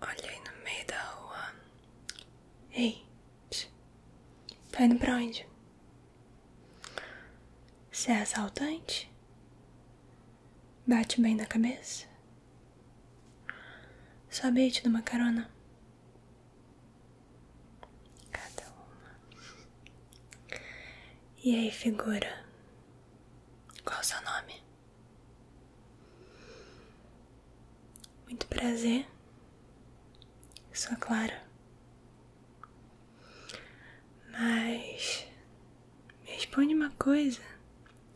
Olhei no meio da rua. Ei, psiu. tá indo pra onde? Você é assaltante? Bate bem na cabeça? Sabia te dar uma carona? Cada uma. E aí, figura? Qual o seu nome? Muito prazer, sou Clara, mas me responde uma coisa: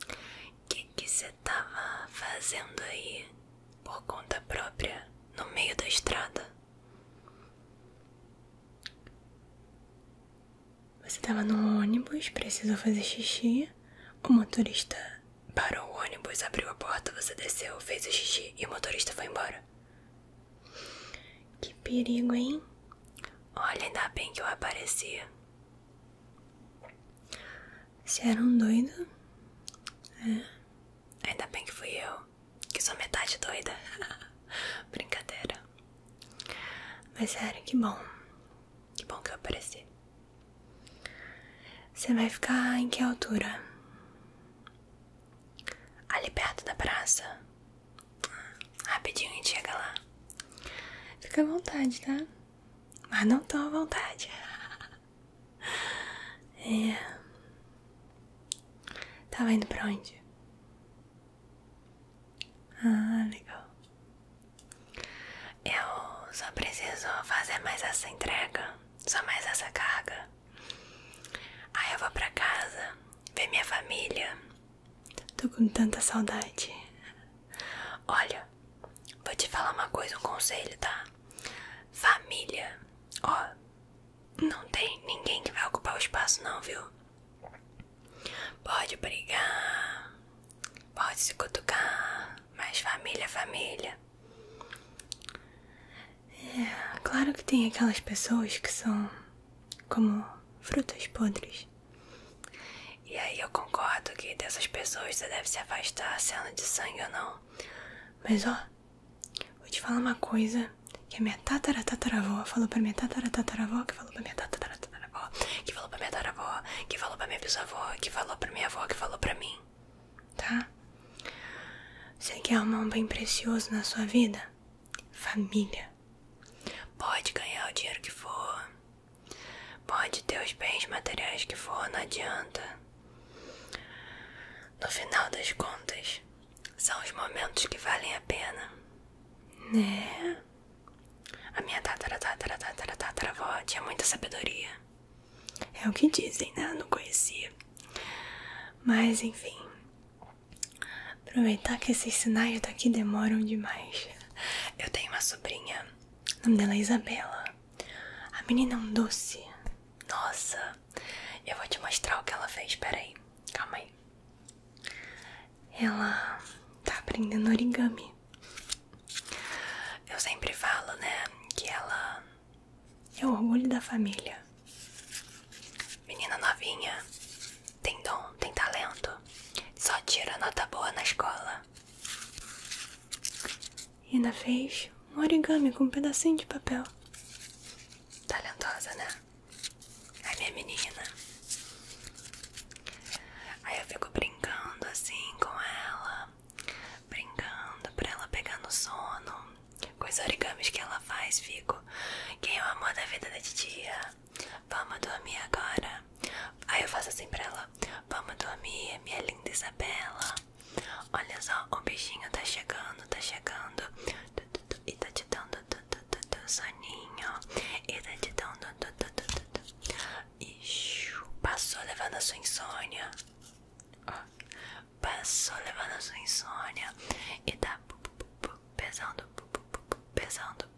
o que você estava fazendo aí por conta própria no meio da estrada? Você tava no ônibus, precisou fazer xixi. O motorista parou o ônibus, abriu a porta, você desceu, fez o xixi e o motorista foi embora. Que perigo, hein? Olha, ainda bem que eu apareci. Você era um doido? É. Ainda bem que fui eu, que sou metade doida. Brincadeira. Mas sério, que bom. Que bom que eu apareci. Você vai ficar em que altura? Ali perto da praça? Rapidinho a gente chega lá. Fica à vontade, tá? Mas não tô à vontade. É. Tava indo pra onde? Ah, legal. Eu só preciso fazer mais essa entrega, só mais essa carga. Aí eu vou pra casa, ver minha família. Tô com tanta saudade. Olha, vou te falar uma coisa, um conselho, tá? Família, ó, não tem ninguém que vai ocupar o espaço, não, viu? Pode brigar, pode se cutucar, mas família, família. É, claro que tem aquelas pessoas que são como frutas podres. E aí eu concordo que dessas pessoas você deve se afastar, sendo é de sangue ou não. Mas ó, vou te falar uma coisa que a minha tatara tataravó falou pra minha tatara tataravó que falou pra minha tatara que falou pra minha tara tataravó, que falou pra minha bisavó, que falou pra minha avó, que falou pra mim. Tá? Você quer arrumar um bem precioso na sua vida? Família. Pode ganhar o dinheiro que for. Pode ter os bens materiais que for, não adianta. No final das contas, são os momentos que valem a pena. Né? A minha tatara tatara tatara tataravó tinha muita sabedoria. É o que dizem, né? Eu não conhecia. Mas enfim. Aproveitar que esses sinais daqui demoram demais. Eu tenho uma sobrinha. O nome é Isabela. A menina é um doce. Nossa. Eu vou te mostrar o que ela fez. Peraí, aí. Calma aí ela tá aprendendo origami. Eu sempre falo, né, que ela é o orgulho da família. Menina novinha, tem dom, tem talento, só tira nota boa na escola. E ainda fez um origami com um pedacinho de papel. Talentosa, né? a minha menina. Aí eu fico brincando assim com ela, brincando pra ela pegar no sono. Com os origamis que ela faz, fico. Quem é o amor da vida da titia? Vamos dormir agora. Aí eu faço assim pra ela: Vamos dormir, minha linda Isabela. Olha só, o beijinho tá chegando, tá chegando. E tá te dando do teu soninho e lentidão do, do, do, do, do. Ixi, passou levando a sua insônia passou levando a sua insônia e tá pesando pesando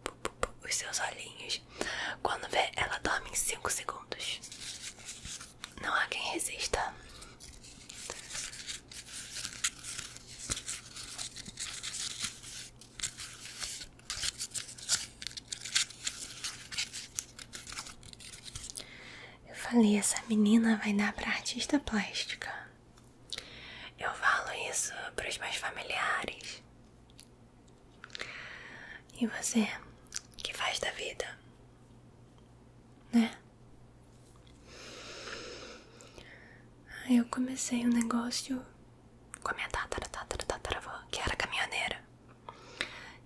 os seus olhinhos quando vê ela dorme em 5 segundos não há quem resista eu falei, essa menina vai dar para artista plástica. Eu falo isso para os meus familiares. E você, que faz da vida, né? Eu comecei um negócio com a minha tatara, tatara, tataravó, que era caminhoneira.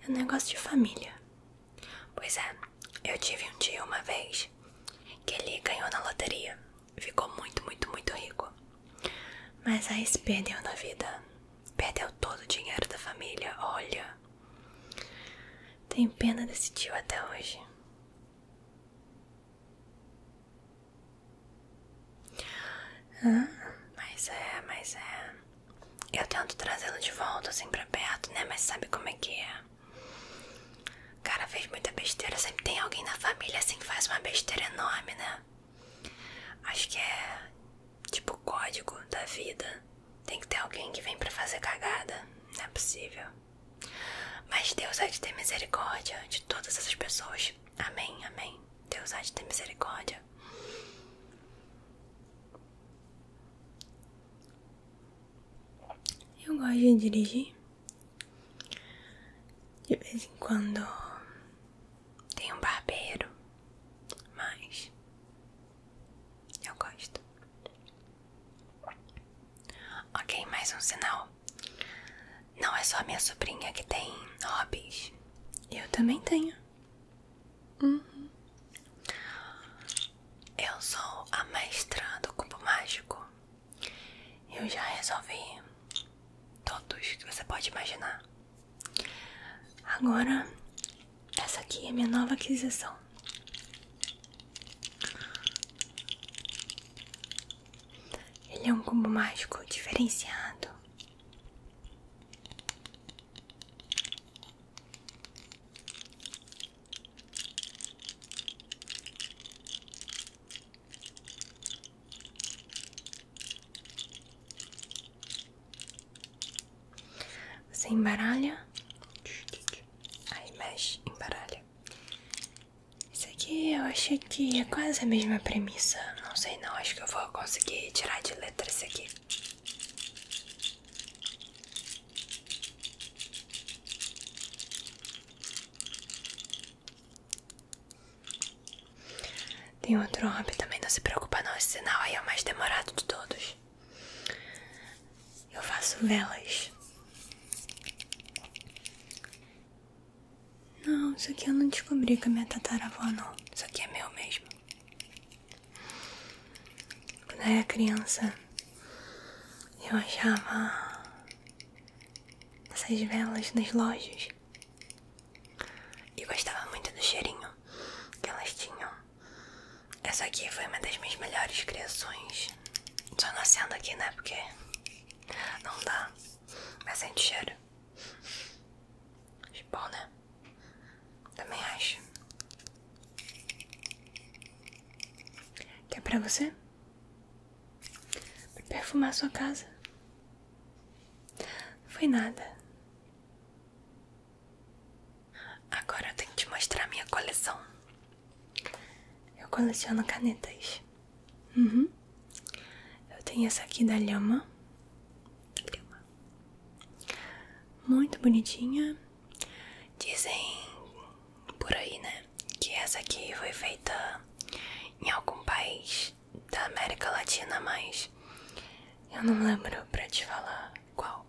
É um negócio de família. Pois é, eu tive um tio uma vez que ele ganhou na loteria. Ficou muito, muito, muito rico. Mas aí se perdeu na vida. Perdeu todo o dinheiro da família, olha. tem pena desse tio até hoje. Ah, mas é, mas é. Eu tento trazê-lo de volta assim pra perto, né? Mas sabe como é que é? O cara fez muita besteira. Sempre tem alguém na família assim que faz uma besteira enorme, né? Acho que é tipo código da vida. Tem que ter alguém que vem pra fazer cagada. Não é possível. Mas Deus há de ter misericórdia de todas essas pessoas. Amém, amém. Deus há de ter misericórdia. Eu gosto de dirigir. De vez em quando tem um barbeiro, mas eu gosto. Ok, mais um sinal. Não é só minha sobrinha que tem hobbies. Eu também tenho. Uhum. Eu sou a mestra do cubo mágico. Eu já resolvi todos que você pode imaginar. Agora, essa aqui é minha nova aquisição. Ele é um combo mágico diferenciado. Você embaralha, aí mexe, embaralha isso aqui eu achei que é quase a mesma premissa. Não sei não, acho que eu vou conseguir tirar de letra isso aqui. Tem outro hobby também, não se preocupa não, esse sinal aí é o mais demorado de todos. Eu faço velas. Não, isso aqui eu não descobri com a minha tataravó, não. Isso aqui é meu mesmo. Quando eu era criança, eu achava essas velas nas lojas. E gostava muito do cheirinho que elas tinham. Essa aqui foi uma das minhas melhores criações. Só nascendo aqui, né? Porque não dá. Mas sem cheiro. De bom, né? Também acho. Quer pra você? Pra perfumar sua casa? Não foi nada. Agora eu tenho que te mostrar a minha coleção. Eu coleciono canetas. Uhum. Eu tenho essa aqui da Lhama. Lhama. Muito bonitinha. Dizem por aí, né? Que essa aqui foi feita em algum país da América Latina, mas eu não lembro pra te falar qual.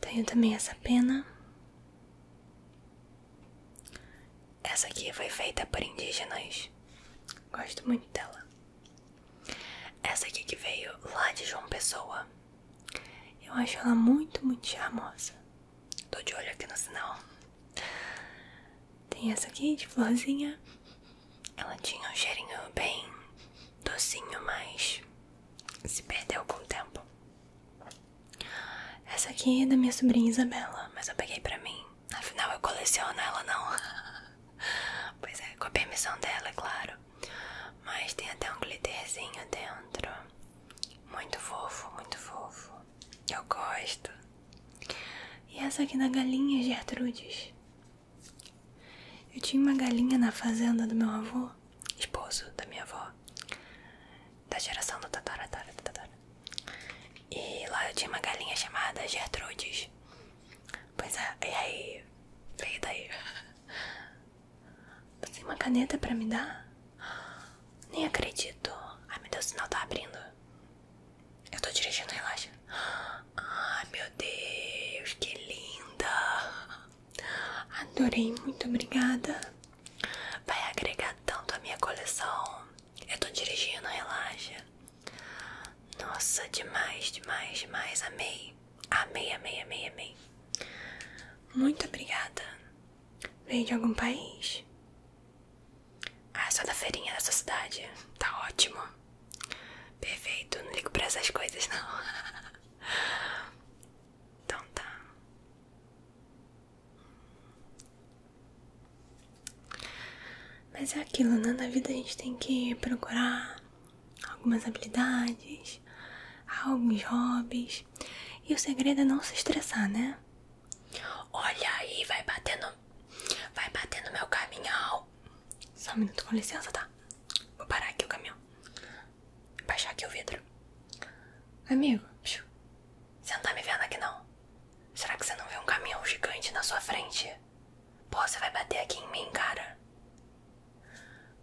Tenho também essa pena. Essa aqui foi feita por indígenas. Gosto muito dela. Essa aqui que veio lá de João Pessoa. Eu acho ela muito, muito charmosa. Tô de olho aqui no sinal. Tem essa aqui de florzinha. Ela tinha um cheirinho bem docinho, mas se perdeu com o tempo. Essa aqui é da minha sobrinha Isabela, mas eu peguei pra mim. Afinal, eu coleciono ela, não. pois é, com a permissão dela, é claro. Mas tem até um glitterzinho dentro. Muito fofo, muito fofo. que Eu gosto. E essa aqui da galinha Gertrudes. Eu tinha uma galinha na fazenda do meu avô esposo da minha avó, da geração do tatara, tatara, tatara. E lá eu tinha uma galinha chamada Gertrudes. Pois é, e aí? Veio daí. Você tem uma caneta pra me dar? Nem acredito. Ai meu Deus, o sinal tá abrindo. Eu tô dirigindo, relaxa. Ai meu Deus, que linda! Adorei, muito obrigada. Vai agregar tanto à minha coleção. Eu tô dirigindo, relaxa. Nossa, demais, demais, demais. Amei. Amei, amei, amei, amei. Muito obrigada. vem de algum país? Ah, só da feirinha da sua cidade. Tá ótimo. Perfeito, não ligo pra essas coisas não. Então tá. Mas é aquilo, né? Na vida a gente tem que procurar algumas habilidades, alguns hobbies. E o segredo é não se estressar, né? Olha aí, vai batendo. Vai batendo meu caminhão. Só um minuto, com licença, tá? Vou parar aqui o caminhão baixar aqui o vidro. Amigo, você não tá me vendo aqui não? Será que você não vê um caminhão gigante na sua frente? Pô, você vai bater aqui em mim, cara.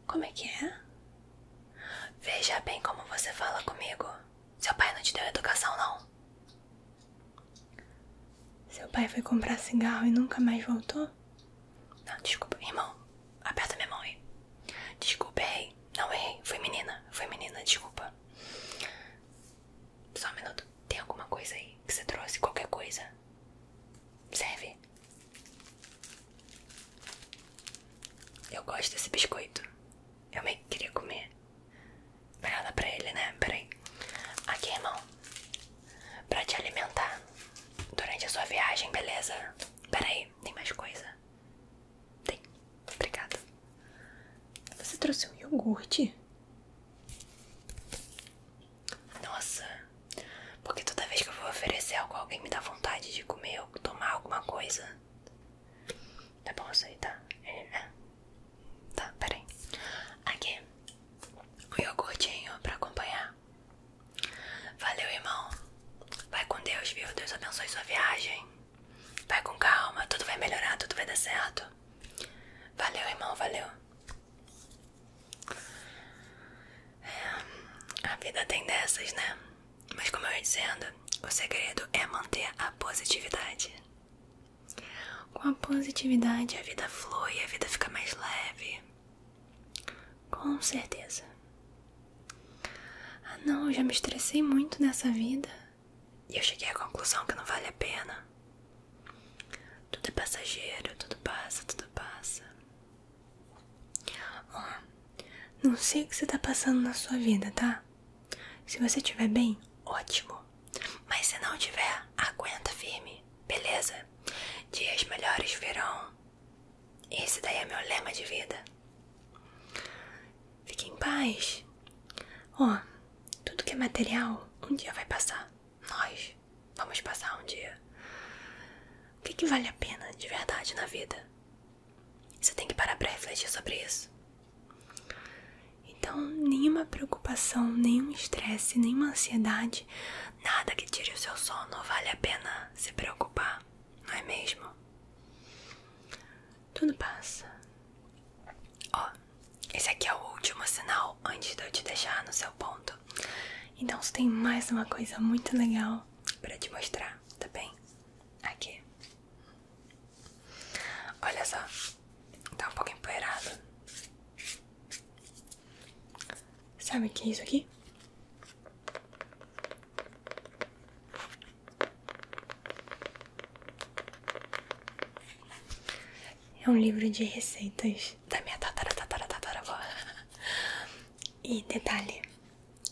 Como é que é? Veja bem como você fala comigo. Seu pai não te deu educação, não? Seu pai foi comprar cigarro e nunca mais voltou? Não, desculpa, irmão. Aperta minha mão aí. Desculpa, errei. Não errei. Fui menina. Fui menina, desculpa. Só um minuto. Tem alguma coisa aí que você trouxe? Qualquer coisa? Serve? Eu gosto desse biscoito. Eu meio que queria comer. Melhor dar pra ele, né? Peraí. Aqui, irmão. Pra te alimentar durante a sua viagem, beleza? Pera aí, tem mais coisa? Tem. Obrigada. Você trouxe um iogurte? Nossa, porque toda vez que eu vou oferecer algo alguém me dá vontade de comer ou tomar alguma coisa. Tá bom isso aí, tá? É, é. Tá, peraí. Aqui, um iogurtinho pra acompanhar. Valeu, irmão. Vai com Deus, viu? Deus abençoe sua viagem. Vai com calma, tudo vai melhorar, tudo vai dar certo. Valeu, irmão, valeu. É, a vida tem dessas, né? Mas como eu ia dizendo, o segredo é manter a positividade. Com a positividade a vida flui, a vida fica mais leve. Com certeza. Ah, não, já me estressei muito nessa vida e eu cheguei à conclusão que não vale a pena. Tudo é passageiro, tudo passa, tudo passa. Ó, não sei o que você tá passando na sua vida, tá? Se você estiver bem, ótimo. Mas se não tiver, aguenta firme, beleza? Dias melhores virão. Esse daí é meu lema de vida. Fique em paz. Ó, tudo que é material um dia vai passar. Nós vamos passar um dia. O que, que vale a pena de verdade na vida? Você tem que parar pra refletir sobre isso. Então, nenhuma preocupação, nenhum estresse, nenhuma ansiedade Nada que tire o seu sono vale a pena se preocupar, não é mesmo? Tudo passa. Ó, esse aqui é o último sinal antes de eu te deixar no seu ponto. Então, você tem mais uma coisa muito legal para te mostrar, tá bem? Aqui. Olha só, tá um pouco empoeirado. Sabe o que é isso aqui? É um livro de receitas da minha tatara tatara tataravó. E detalhe,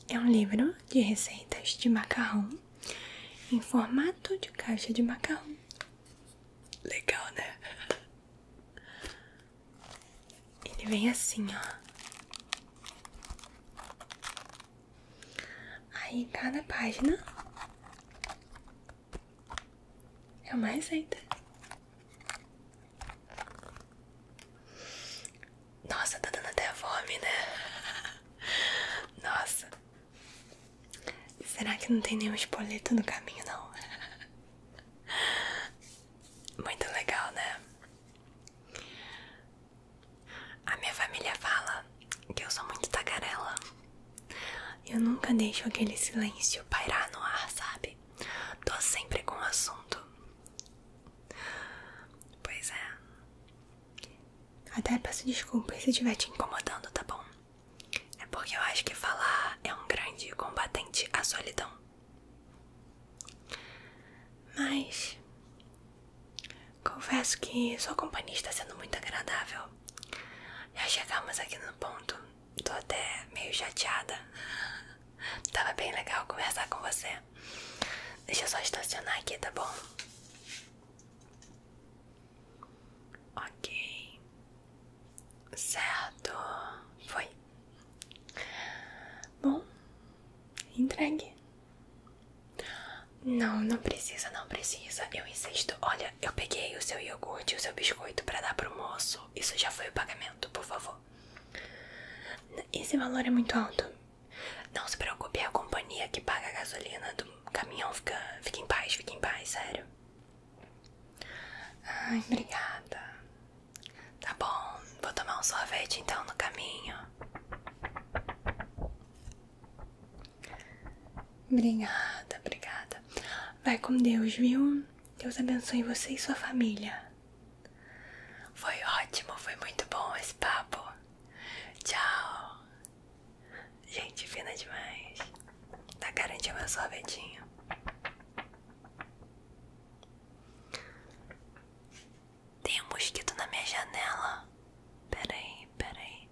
é um livro de receitas de macarrão em formato de caixa de macarrão. Legal, né? Ele vem assim, ó. Aí tá na página é mais receita. Nossa, tá dando até fome, né? Nossa. Será que não tem nenhum espoleto no caminho, não? Muito legal, né? A minha família fala que eu sou muito tagarela. Eu nunca deixo aquele silêncio pairar no ar, sabe? Tô sempre com o assunto. Pois é. Até peço desculpas se estiver te incomodando, tá bom? É porque eu acho que falar é um grande combatente à solidão. Mas confesso que sua companhia está sendo muito agradável. Já chegamos aqui no ponto. estou até meio chateada. Tava bem legal conversar com você. Deixa eu só estacionar aqui, tá bom? Ok. Certo, foi. Bom, entregue. Não, não precisa, não precisa. Eu insisto. Olha, eu peguei o seu iogurte e o seu biscoito para dar para o moço. Isso já foi o pagamento, por favor. Esse valor é muito alto. Não se preocupe, é a companhia que paga a gasolina do caminhão. Fica, fica em paz, fique em paz, sério. Ai, obrigada. Tá bom, vou tomar um sorvete então no caminho. Obrigada, obrigada. Vai com Deus, viu? Deus abençoe você e sua família. Foi ótimo, foi muito bom esse papo. Tchau. Gente fina demais. Tá garantindo meu sorvetinho. Tem um mosquito na minha janela. aí, Peraí, aí.